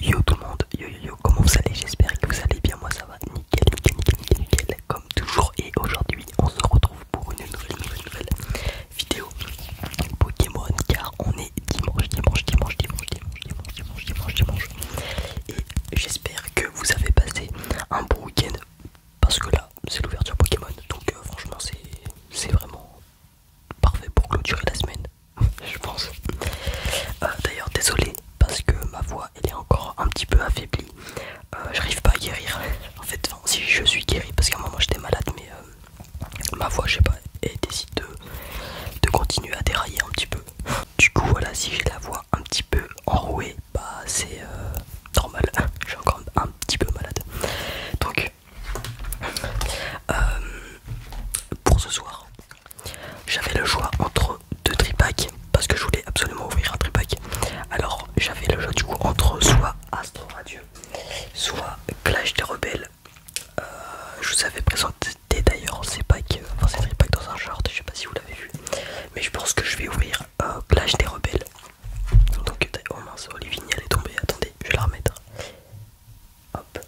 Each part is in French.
Yo tout le monde, yo yo yo, comment vous allez J'espère que vous allez bien, moi ça va nickel, nickel, nickel, nickel, nickel comme toujours. Et aujourd'hui, on se retrouve pour une nouvelle, nouvelle, vidéo Pokémon car on est dimanche, dimanche, dimanche, dimanche, dimanche, dimanche, dimanche, dimanche. Et j'espère que vous avez passé un bon week-end parce que là, c'est l'ouverture Pokémon, donc euh, franchement, c'est vraiment parfait pour clôturer la semaine, je pense. Euh, d'ailleurs, désolé parce que ma voix elle est encore un petit peu affaiblie. Euh, j'arrive pas à guérir. En fait, si je suis guéri parce qu'à un moment j'étais malade, mais euh, ma voix, je pas, et décide de, continuer à dérailler un petit peu. Du coup, voilà, si j'ai la voix un petit peu enrouée, bah c'est normal. Je suis encore un petit peu malade. Donc euh, pour ce soir, j'avais le choix entre deux tripacks parce que je voulais absolument ouvrir un tripack. Alors j'avais le choix du coup entre soit Astro Radio, soit Clash des Rebelles. Euh, je vous avais présenté d'ailleurs ces packs, ces tripacks dans un short, je sais pas si vous l'avez vu, mais je pense que je vais ouvrir Clash des Rebelles. Donc, oh mince, Olivier est tombé. attendez, je vais la remettre. Hop.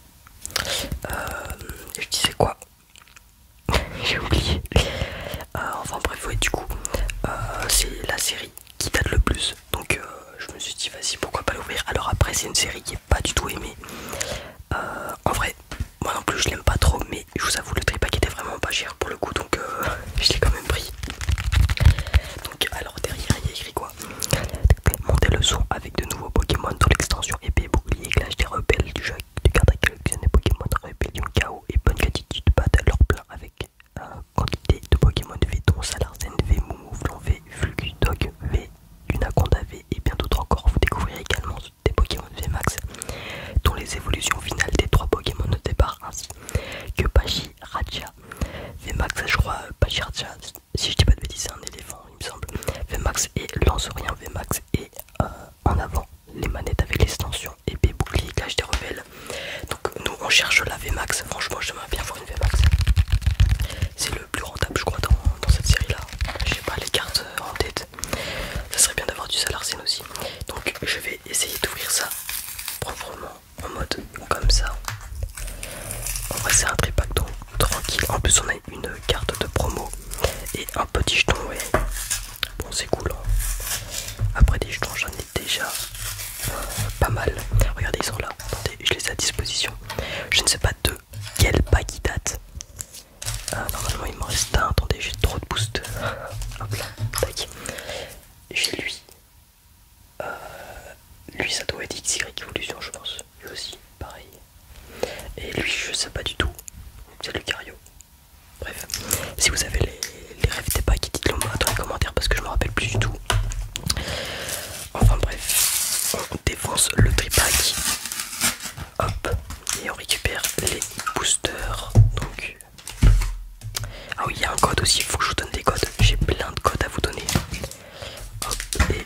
Euh, je disais quoi J'ai oublié. Euh, enfin bref, ouais, du coup, euh, c'est la série qui date le plus. Donc je me suis dit, vas-y, pourquoi pas l'ouvrir Alors après, c'est une série qui est pas du tout aimée. en vrai, moi non plus, je l'aime pas trop, mais je vous avoue, le tripack était vraiment pas cher pour le coup, donc je l'ai quand même pris. Donc alors derrière, il y a écrit quoi Montez le son avec de nouveaux Pokémon dans l'extension épée, bouclier, clash des rebelles du jeu du carte à collectionner Pokémon, rébellion, chaos et bonne gratitude à leur plein avec une quantité de Pokémon V, dont Salarzen, V, Moumouflon, V, Dog V, Unaconda V et bien d'autres encore. Vous découvrirez également des Pokémon de Vmax dont les évolutions finales des trois Pokémon de départ, ainsi que Pachi VMAX je crois, Pachi si je dis pas de bêtises, c'est un éléphant, il me semble. Vmax et lancerien, Vmax et euh, en avant les manettes avec l'extension épée, bouclier, cache des rebelles. Donc, nous on cherche la Vmax. Franchement, j'aimerais bien voir une Vmax. C'est le plus rentable, je crois, dans, cette série là. J'ai pas les cartes euh, en tête. Ça serait bien d'avoir du Salarsen aussi. Donc, je vais essayer d'ouvrir ça proprement en mode comme ça. En vrai c'est un tripacto tranquille. En plus on a une carte de promo et un petit jeton Bon c'est cool. Hein. Après des jetons j'en ai déjà euh, pas mal. Regardez ils sont là. Attendez, je les ai à disposition. Je ne sais pas de quel pack ils date ah, normalement il me reste un. Attendez j'ai trop de boost. Hop là. J'ai lui. Euh, lui, ça doit être XY Evolution, je pense. Lui aussi, pareil. Et lui, je sais pas du tout. C'est Lucario. Bref, si vous avez les, rêves des packs, dites-le moi dans les commentaires parce que je me rappelle plus du tout. Enfin bref, on défonce le tripack. Hop, et on récupère les boosters. Donc, ah oui, il y a un code aussi. Il faut que je vous donne des codes. J'ai plein de codes à vous donner et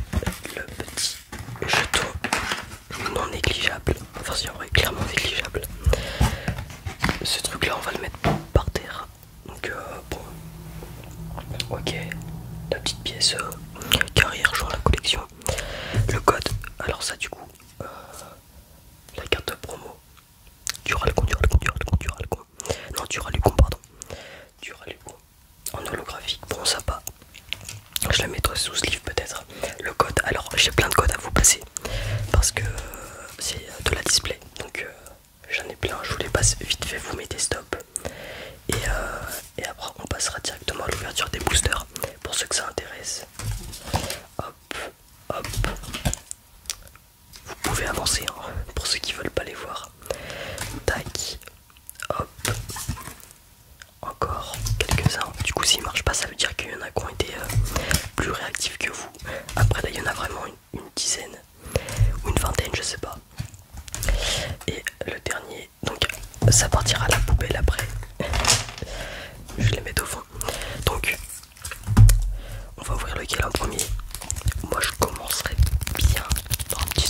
le petit jeton non négligeable. Enfin, si vrai, clairement négligeable. Ce truc là, on va le mettre par terre. Donc, euh, bon, ok, la petite pièce carrière, euh, genre la collection. Le code, alors, ça, du coup, euh, la carte promo, Duralcon, Duralcon, Duralcon, con Non, con pardon. En holographique, bon, sympa Je la mettrai sous ce livre peut-être. Le code, alors j'ai plein de codes à vous passer parce que euh, c'est euh, de la display. Donc euh, j'en ai plein, je vous les passe vite fait, vous mettez stop. Et, et après on passera directement à l'ouverture des boosters pour ceux que ça intéresse. Hop, hop. Vous pouvez avancer hein, pour ceux qui veulent pas les voir. Tac, hop, encore quelques-uns. Du coup, s'ils marche pas, ça veut dire qu'il y en a qui ont été euh, plus réactifs que vous. Après, là, il y en a vraiment une, dizaine ou une vingtaine, je sais pas. Et le dernier, donc ça partira la poubelle après. Je les mets au fond. Donc, on va ouvrir lequel en premier Moi je commencerai bien par un petit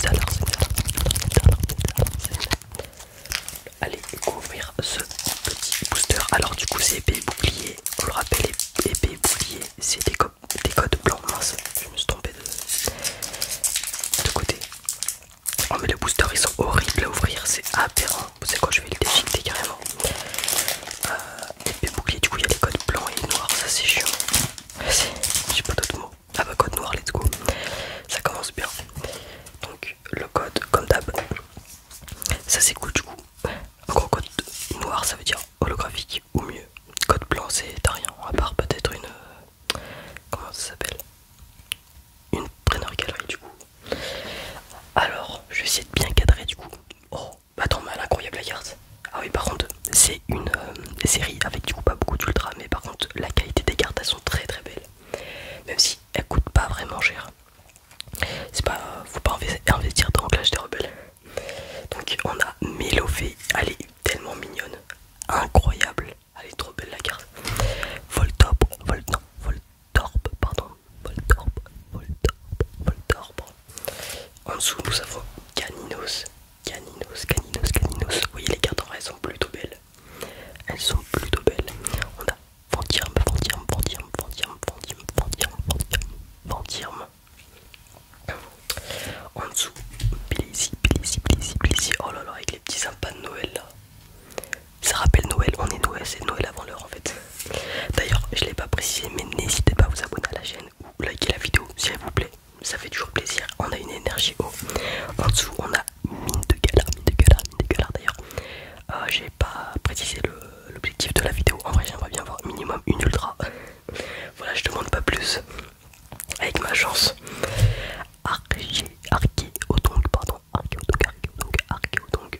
Allez, ouvrir ce petit booster. Alors du coup c'est épée bouclier. vous le rappelle, épée bouclier, c'est des, codes blancs. Mince, je me suis trompé de, côté. Oh mais les boosters ils sont horribles à ouvrir, c'est aberrant. Vous savez quoi, je vais le déchiqueter carrément. Euh, des boucliers du coup il y a les codes blancs et noirs, ça c'est chiant. J'ai pas d'autres mots. Ah bah code noir, let's go. Ça commence bien. Donc le code, comme d'hab, ça c'est cool du coup. encore gros, code noir ça veut dire holographique ou mieux. Code blanc c'est t'as rien, à part peut-être une. Euh, comment ça s'appelle Une preneur galerie du coup. Alors, je vais essayer de bien cadrer du coup. Oh, bah incroyable la carte. Ah oui, par contre, c'est une euh, série avec du coup pas beaucoup d'ultra, mais par contre, la qualité des cartes elles sont très très belles. Même si elles coûtent pas vraiment cher. C'est pas. Faut pas investir dans Clash des Rebelles. Donc, on a Melofe, Elle est tellement mignonne. Incroyable. Elle est trop belle la carte. Voltop, non, Voltorb, pardon d'orbre, Voltorb, Voltorb. En dessous, nous avons Caninos, Caninos, Caninos, Caninos. Vous voyez, les cartes en vrai, elles sont plutôt belles. Elles sont plutôt belles. On a Ventirme, Ventirme, Ventirme, Ventirme, Ventirme, Ventirme, Ventirme, En dessous, Blissy, Blissy, Blissy, Blissy. Oh là là, avec les petits sympas de Noël là. Ça rappelle Noël, on est Noël, c'est Noël avant l'heure en fait. D'ailleurs, je ne l'ai pas précisé, mais n'hésitez pas à vous abonner à la chaîne ou liker la vidéo s'il vous plaît. Ça fait toujours plaisir. On a une énergie haut. En dessous, on a mine de galère, mine de galère, mine de galère d'ailleurs. Je euh, J'ai pas précisé l'objectif de la vidéo. En vrai, j'aimerais bien avoir minimum une ultra. voilà, je demande pas plus. Avec ma chance. Arché, pardon, arché, donc,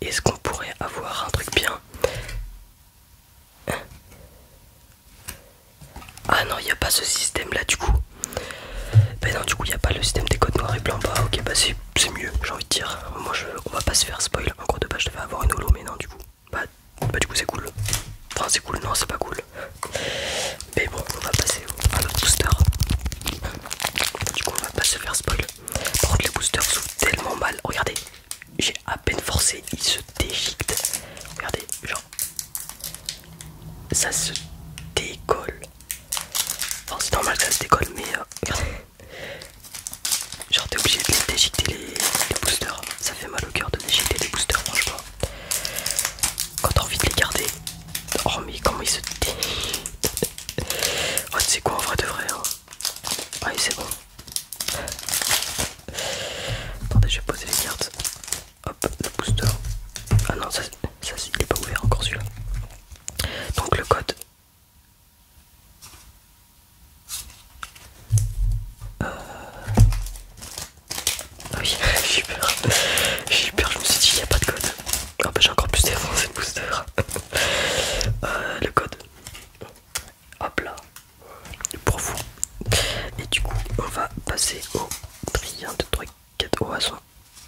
est-ce qu'on pourrait avoir un truc bien hein Ah non, il n'y a pas ce système là du coup. Ben non, du coup, il n'y a pas le système des codes noirs et blancs. Bah ok, bah c'est mieux, j'ai envie de dire. Moi, je, on va pas se faire spoil. En gros, de base, je devais avoir une holo, mais non, du coup. Bah, bah du coup, c'est cool. Enfin, c'est cool, non, c'est pas cool. Mais bon, on va passer à notre booster. Du coup, on va pas se faire spoil. Par les boosters sont tellement mal. Regardez, j'ai à peine forcé, ils se déchiquent. Regardez, genre, ça se décolle. Enfin, c'est normal que ça se décolle, mais euh, Genre, t'es obligé de les déchiqueter les, boosters. Ça fait mal au cœur de déchiqueter les boosters, franchement. Quand t'as envie de les garder. Oh, mais comment ils se déchiquent Oh, quoi, en vrai de vrai, hein Ah il c'est bon. Attendez, je vais poser les cartes. Hop, le booster. Ah non, ça, il est pas ouvert encore celui-là. Donc le code. Euh. Ah oui, j'ai eu peur. J'ai peur, je me suis dit, il n'y a pas de code. Ah bah j'ai encore plus d'erreurs dans booster. Euh, le code. Hop là, Pour vous Et du coup, on va passer au tri 1, 2, 3, 4. Oh, elles sont.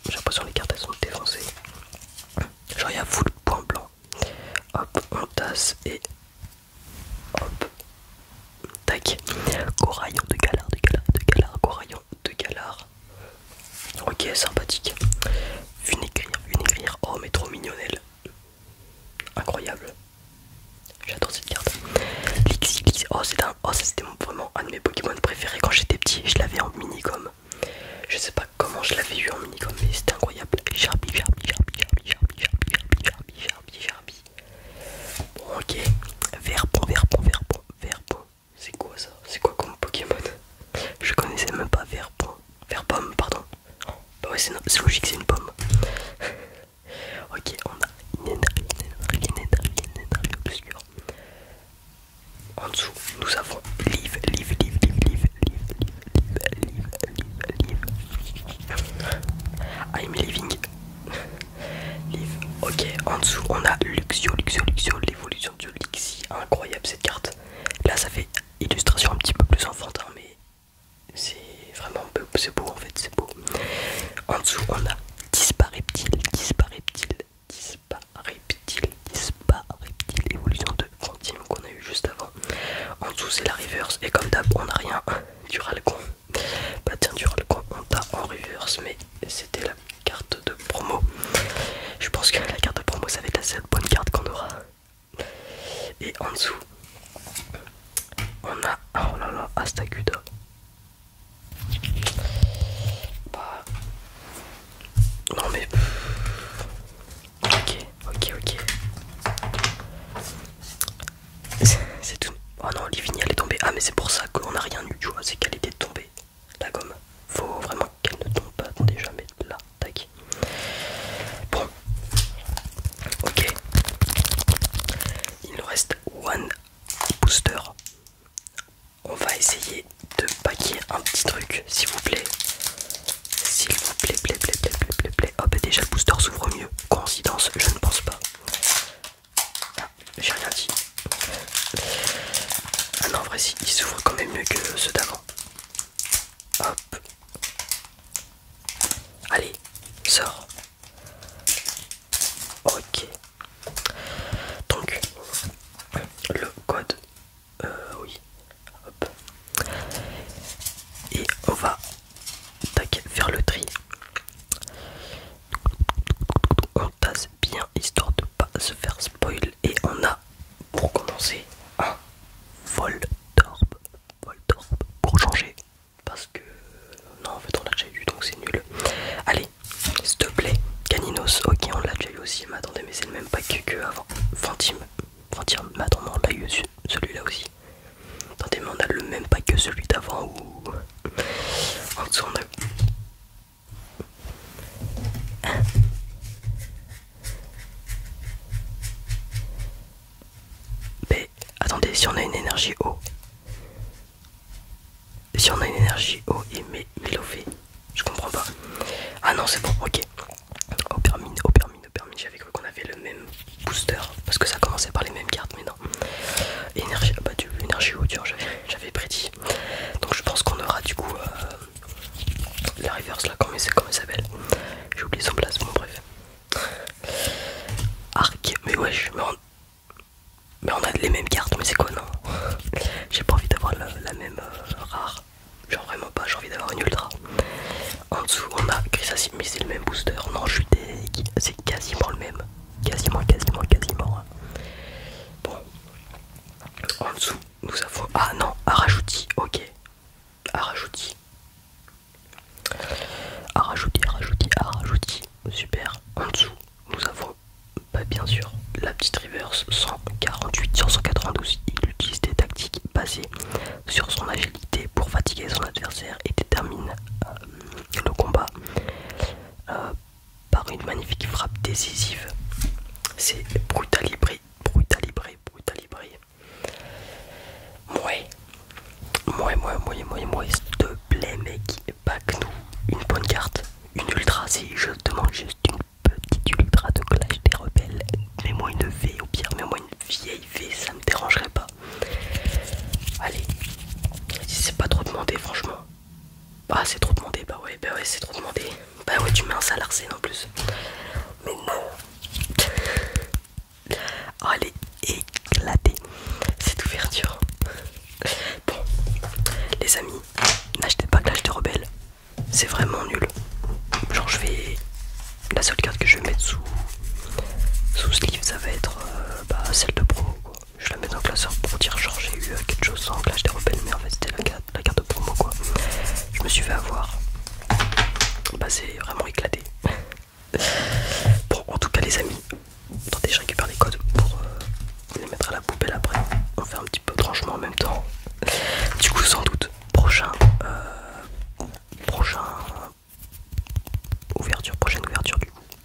J'ai l'impression que les cartes elles sont défoncées. Genre, il y a full point blanc. Hop, on tasse et. Hop. Tac. Coraillon de galère, de galère, de galère, coraillon de galard. Ok, sympathique. Une écrire Oh, mais trop mignonnel. Incroyable. J'adore cette carte. Lixi, Lixi. Oh, oh c'était vraiment un de mes Pokémon préférés quand j'étais petit. Je l'avais en mini minicom. Je sais pas comment je l'avais eu en mini minicom, mais c'était incroyable. Jarbi, Jarbi, Jarbi, Jarbi, Jarbi, Jarbi, Jarbi, Jarbi, Jarbi, Bon, ok. Verbon, Verbon, Verbon, Verbon. C'est quoi ça C'est quoi comme Pokémon Je connaissais même pas Verpon. pomme pardon. Bah ouais, c'est logique, c'est une pomme. ok, on a En dessous, nous avons Live, Live, Live, Live, Live, Live, Live, Live, Live. I'm living. Ah, Live. Ok, en dessous, on a Luxio, Luxio, Luxio, l'évolution du Lixi, incroyable cette carte. Là ça fait illustration un petit peu plus enfantin mais c'est vraiment beau, c'est beau en fait, c'est beau. En dessous on a Dispareptile, Dispareptile, Dispareptile, Dispareptile, évolution de Fantine qu'on a eu juste avant. En dessous c'est la reverse et comme d'hab on n'a rien du Ralcon. Bah tiens du Ralcon on t'a en reverse mais c'était la carte de promo. Je pense que la carte de promo ça va être la seule bonne carte qu'on aura. Et en dessous, on a oh là là Astaguda. Bah non mais ok ok ok. C'est tout. Oh non, Livigny elle est tombée. Ah mais c'est pour ça qu'on n'a rien eu, tu vois, c'est qu'elle était tombée la gomme. Faut vraiment qu'elle ne tombe pas. Attendez, jamais là. Tac. Bon. Ok. Il nous reste one booster. On va essayer de paquer un petit truc, s'il vous plaît. S'il vous plaît, plaît, plaît, plaît, plaît, plaît, plaît. Oh, bah, déjà le booster s'ouvre mieux. Coïncidence, je ne pense pas. Ah j'ai rien dit. Ah non, en vrai, si, il s'ouvre quand même mieux que ceux d'avant. Hop. Allez, sort Ok. Donc, le code, euh, oui. Hop. Et on va faire le tri on tasse bien histoire de pas se faire spoil et on a pour commencer un Voltorb Voltorb pour changer parce que non en fait on l'a déjà eu donc c'est nul allez s'il te plaît Caninos ok on l'a déjà eu aussi mais attendez mais c'est le même pack que avant Fantime Fantime mais on l'a eu celui-là aussi attendez mais on a le même pack que celui d'avant ou en dessous on a mais attendez, si on a une énergie haut, si on a une énergie haut et mais mélové, je comprends pas. Ah non, c'est bon, ok. Au permis, au permis, au permis, j'avais cru qu'on avait le même booster parce que ça commençait par les mêmes cartes, mais non. Énergie, ah bah, énergie haut dur, j'avais prédit donc je pense qu'on aura du coup euh, la reverse là, comment elle s'appelle J'ai oublié son place, mon bref. Arc, mais wesh, mais on, a les mêmes cartes, mais c'est quoi non J'ai pas envie d'avoir la, même euh, rare, genre vraiment pas, j'ai envie d'avoir une ultra. En dessous on a mais c'est le même booster, non je suis c'est quasiment le même, quasiment, quasiment, quasiment. Hein. Bon, en dessous, nous avons. Ah non, rajouti ok. Arachouti, Arachouti, à Arachouti, Super. En dessous, nous avons, bah, bien sûr, la petite reverse 148 sur 192. Il utilise des tactiques basées sur son agilité pour fatiguer son adversaire et détermine euh, le combat. Euh, par une magnifique frappe décisive. C'est brutalibré, brutalibré, brutalibré. Mouais, mouais, mouais, mouais, mouais, mouais, s'il te plaît, mec, back nous une bonne carte, une ultra, si je demande juste une petite ultra de clash des rebelles. Mets-moi une V, au pire, mets-moi une vieille V, ça me dérangerait pas. Allez, si c'est pas trop demandé, franchement. Bah c'est trop demandé, bah ouais, bah ouais c'est trop demandé. Bah ouais tu mets un sale plus. Mais non Oh elle est cette ouverture. Bon, les amis, n'achetez pas Clash de Rebelle C'est vraiment nul. Genre je vais... La seule carte que je vais mettre sous, sous ce livre ça va être euh, bah, celle de Pro je la mets dans le classeur pour dire genre j'ai eu euh, quelque chose sans que je mais en fait c'était la carte, la carte pour promo quoi. Je me suis fait avoir. Bah c'est vraiment éclaté. bon en tout cas les amis, attendez je récupère les codes pour euh, les mettre à la poubelle après. On fait un petit peu de rangement en même temps. Du coup sans doute prochain euh, prochain ouverture, prochaine ouverture du coup